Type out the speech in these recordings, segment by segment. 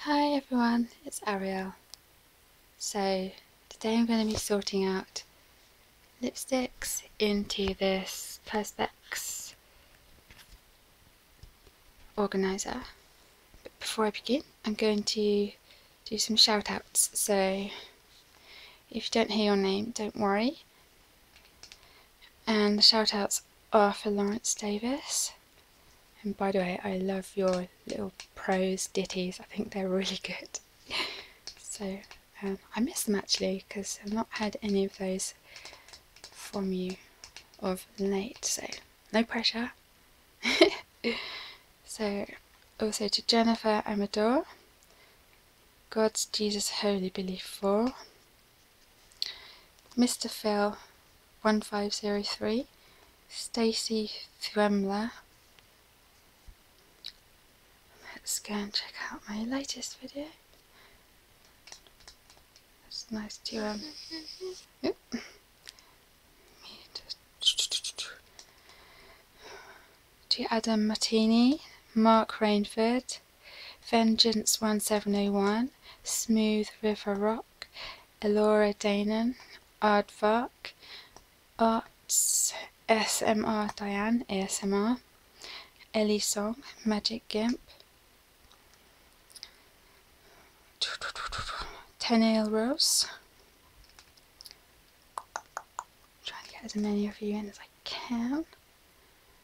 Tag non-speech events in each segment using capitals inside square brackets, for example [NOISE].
Hi everyone, it's Ariel. So today I'm going to be sorting out lipsticks into this Perspex organiser. But before I begin, I'm going to do some shout outs. So if you don't hear your name, don't worry. And the shout outs Arthur Lawrence Davis. And by the way, I love your little prose ditties, I think they're really good. [LAUGHS] So um, I miss them actually because I've not had any of those from you of late, so no pressure. [LAUGHS] so also to Jennifer Amador, God's Jesus Holy Belief for. Mr. Phil 1503, Stacy Thwemler. Let's go and check out my latest video. It's nice to um oop. to Adam Martini, Mark Rainford, Vengeance 1701, Smooth River Rock, Elora Danon, Aardvark, Arts, SMR Diane, ASMR, Ellie Song, Magic Gimp, Tenail Rose. Trying to get as many of you in as I can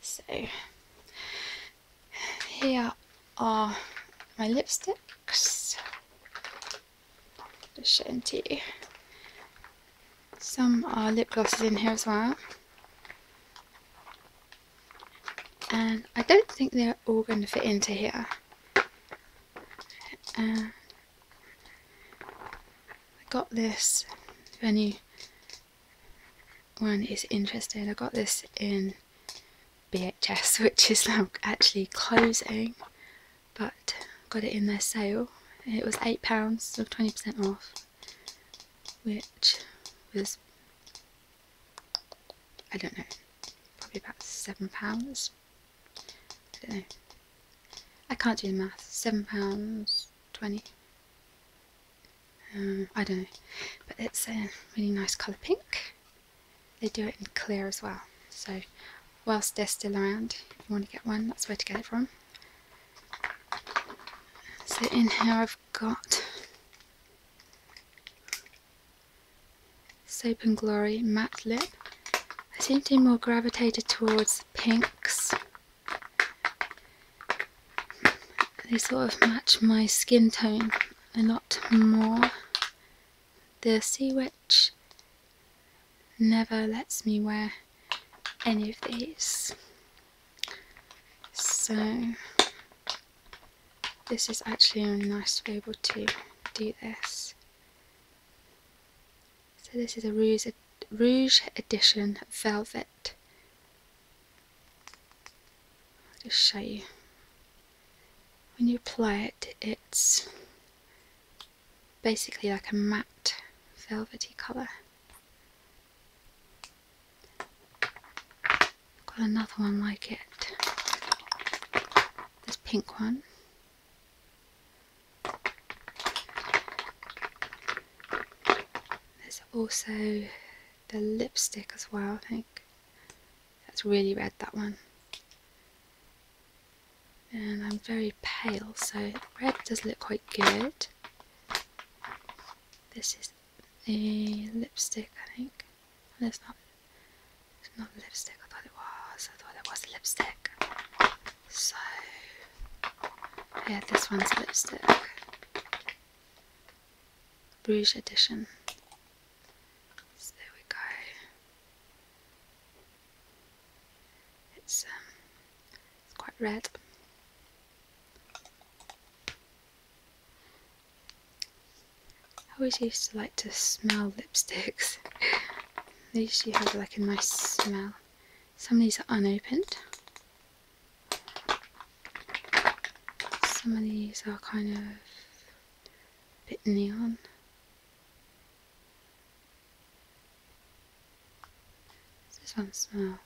So, here are my lipsticks. Just show them to you. Some are lip glosses in here as well. And I don't think they're all going to fit into here. I got this Venue one is interesting. I got this in BHS, [LAUGHS] which is now actually closing, but got it in their sale. It was £8, so 20% off, which was, I don't know, probably about £7. I don't know. I can't do the math. £7.20. Um, I don't know, but it's a really nice colour pink. They do it in clear as well, so whilst they're still around, if you want to get one, that's where to get it from. So in here I've got Soap and Glory Matte Lip. I seem to be more gravitated towards pinks they sort of match my skin tone a lot more. The Sea Witch never lets me wear any of these. So this is actually nice to be able to do this. So this is a Rouge, Rouge Edition Velvet. I'll just show you. When you apply it, it's basically like a matte velvety colour. Got another one like it. This pink one. There's also the lipstick as well, I think. That's really red, that one. And I'm very pale, so red does look quite good. This is the lipstick, I think. And it's not, it's not lipstick, I thought it was. I thought it was lipstick. So, yeah, this one's lipstick. Rouge edition. there we go. It's um it's quite red. I always used to like to smell lipsticks. [LAUGHS] they usually have like a nice smell. Some of these are unopened. Some of these are kind of bit neon. this one smell?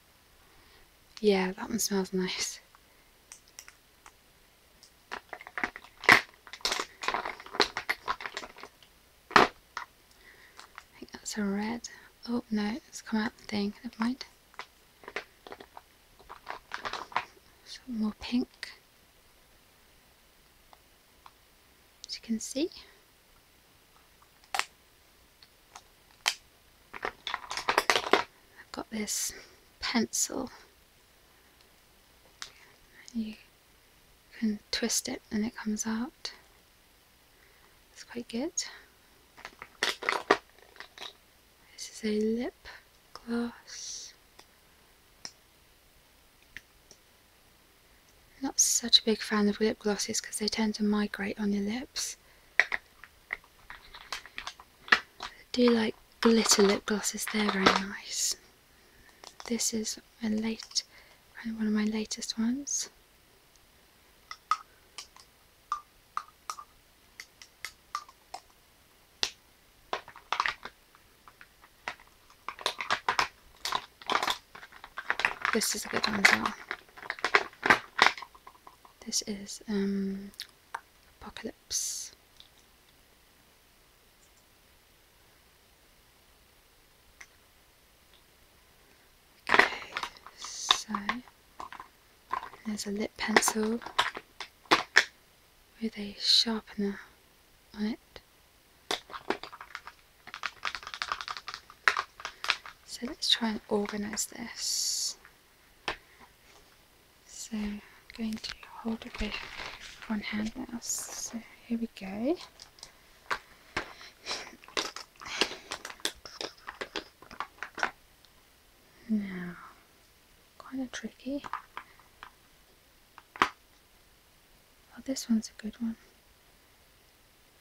Yeah, that one smells nice. I think that's a red. Oh no, it's come out the thing, never mind. Some more pink. As you can see. I've got this pencil. You you can twist it and it comes out. It's quite good. This is a lip gloss. I'm not such a big fan of lip glosses because they tend to migrate on your lips. I do like glitter lip glosses, they're very nice. This is a late, uh, one of my latest ones. This is a good one as well. This is um, Apocalypse. Okay, so there's a lip pencil with a sharpener on it. So let's try and organise this. So I'm going to hold it with one hand now. So here we go. Now, kind of tricky. Oh, this one's a good one.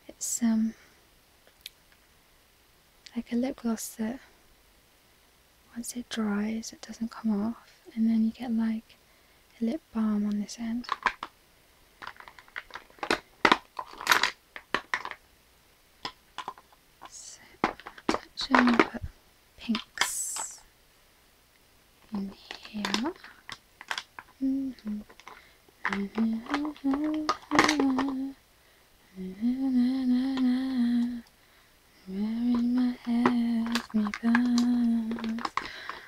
It's um like a lip gloss that once it dries, it doesn't come off, and then you get like a lip balm on this end. So, attention, put pinks in here. Mm-hmm. [LAUGHS]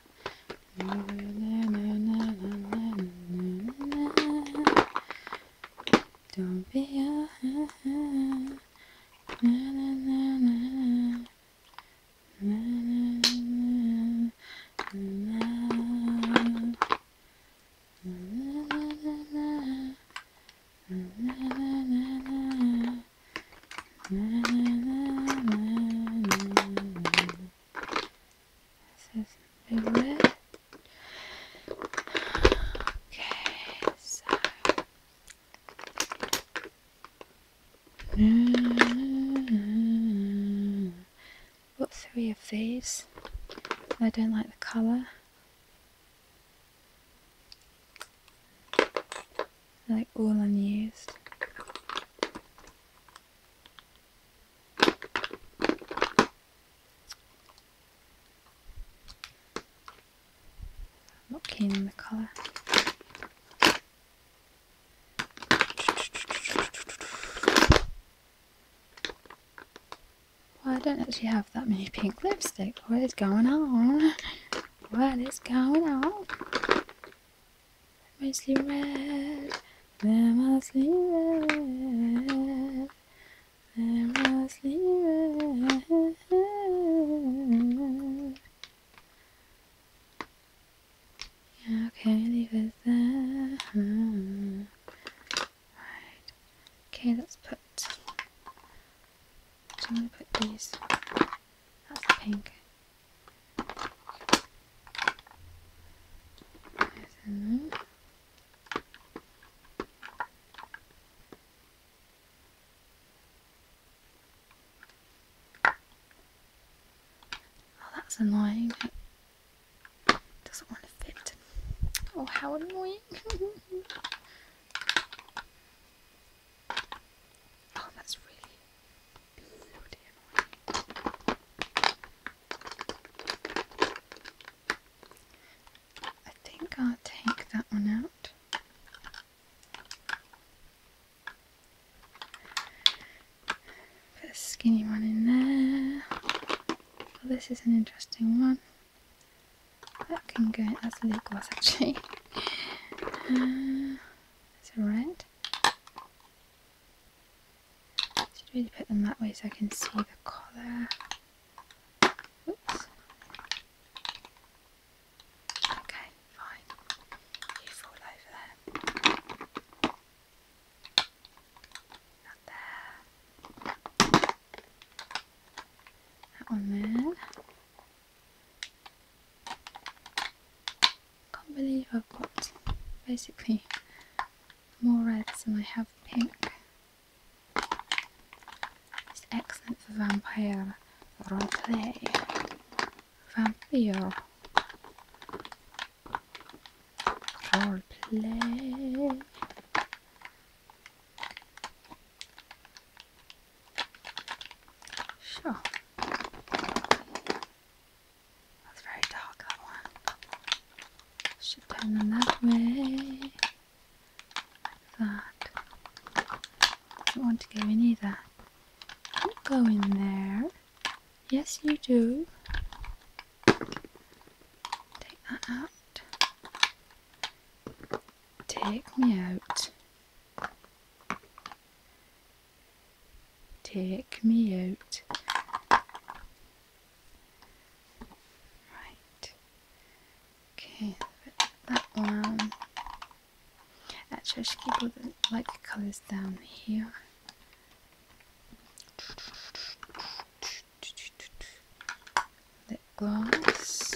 Don't be a na na na na na na na na na na na this is big red. Okay, so. Got three of these. I don't like the colour like all unused. i the colour. I don't actually have that many pink lipsticks. What is going on? [LAUGHS] What is going on? Mostly red, they're mostly red, they're mostly red. Yeah, okay, leave it there. Huh. Hmm. Okay, let's put so I'm going to put these, that's the pink. Then, oh, that's annoying. doesn't want to fit. Oh, how annoying. [LAUGHS] Oh, that's really bloody annoying. I think I'll take that one out. Put a skinny one in there. Well, oh, this is an interesting one. That can go as liquors [LAUGHS] actually. Uh, it's a red. should really put them that way so I can see the colour. Oops. Okay, fine. You fall over there. Not there. That one there. Can't believe I've got basically more reds than I have pink. It's excellent for vampire role roleplay. Vampire role roleplay. Sure. That's very dark, that one. Should turn them that way. that. I don't want to go in either. Don't go in there. Yes, you do. Take that out. Take me out. Take me out. Right. Okay, that one. Actually, I should keep all the colours down here. Lip gloss.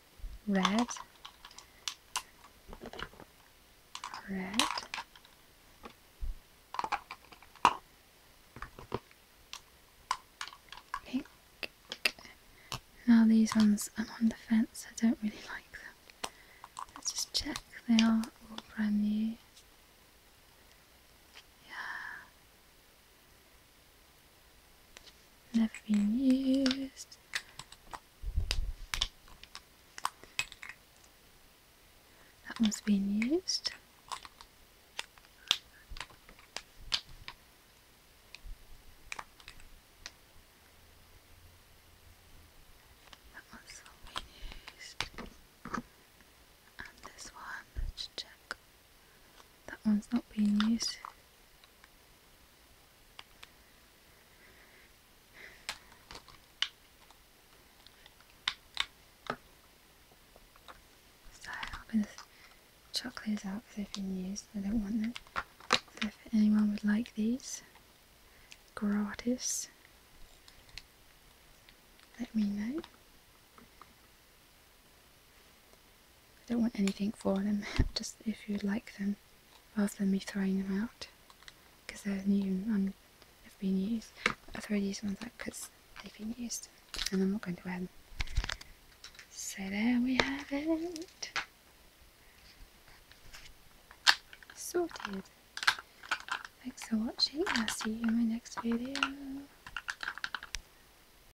red, red, pink. Now these ones, I'm on the fence, I don't really like them. Let's just check, they are all brand new. Yeah, never been used. That one's been used. That one's not been used. And this one, let's check. That one's not being used. So i am going to chuck those out because they've been used. I don't want them. if anyone would like these, gratis, let me know. I don't want anything for them, [LAUGHS] just if you would like them, rather than me throwing them out, because they're new and they have been used. I throw these ones out because they've been used, and I'm not going to wear them. So there we have it. Sorted. Thanks for watching, I'll see you in my next video.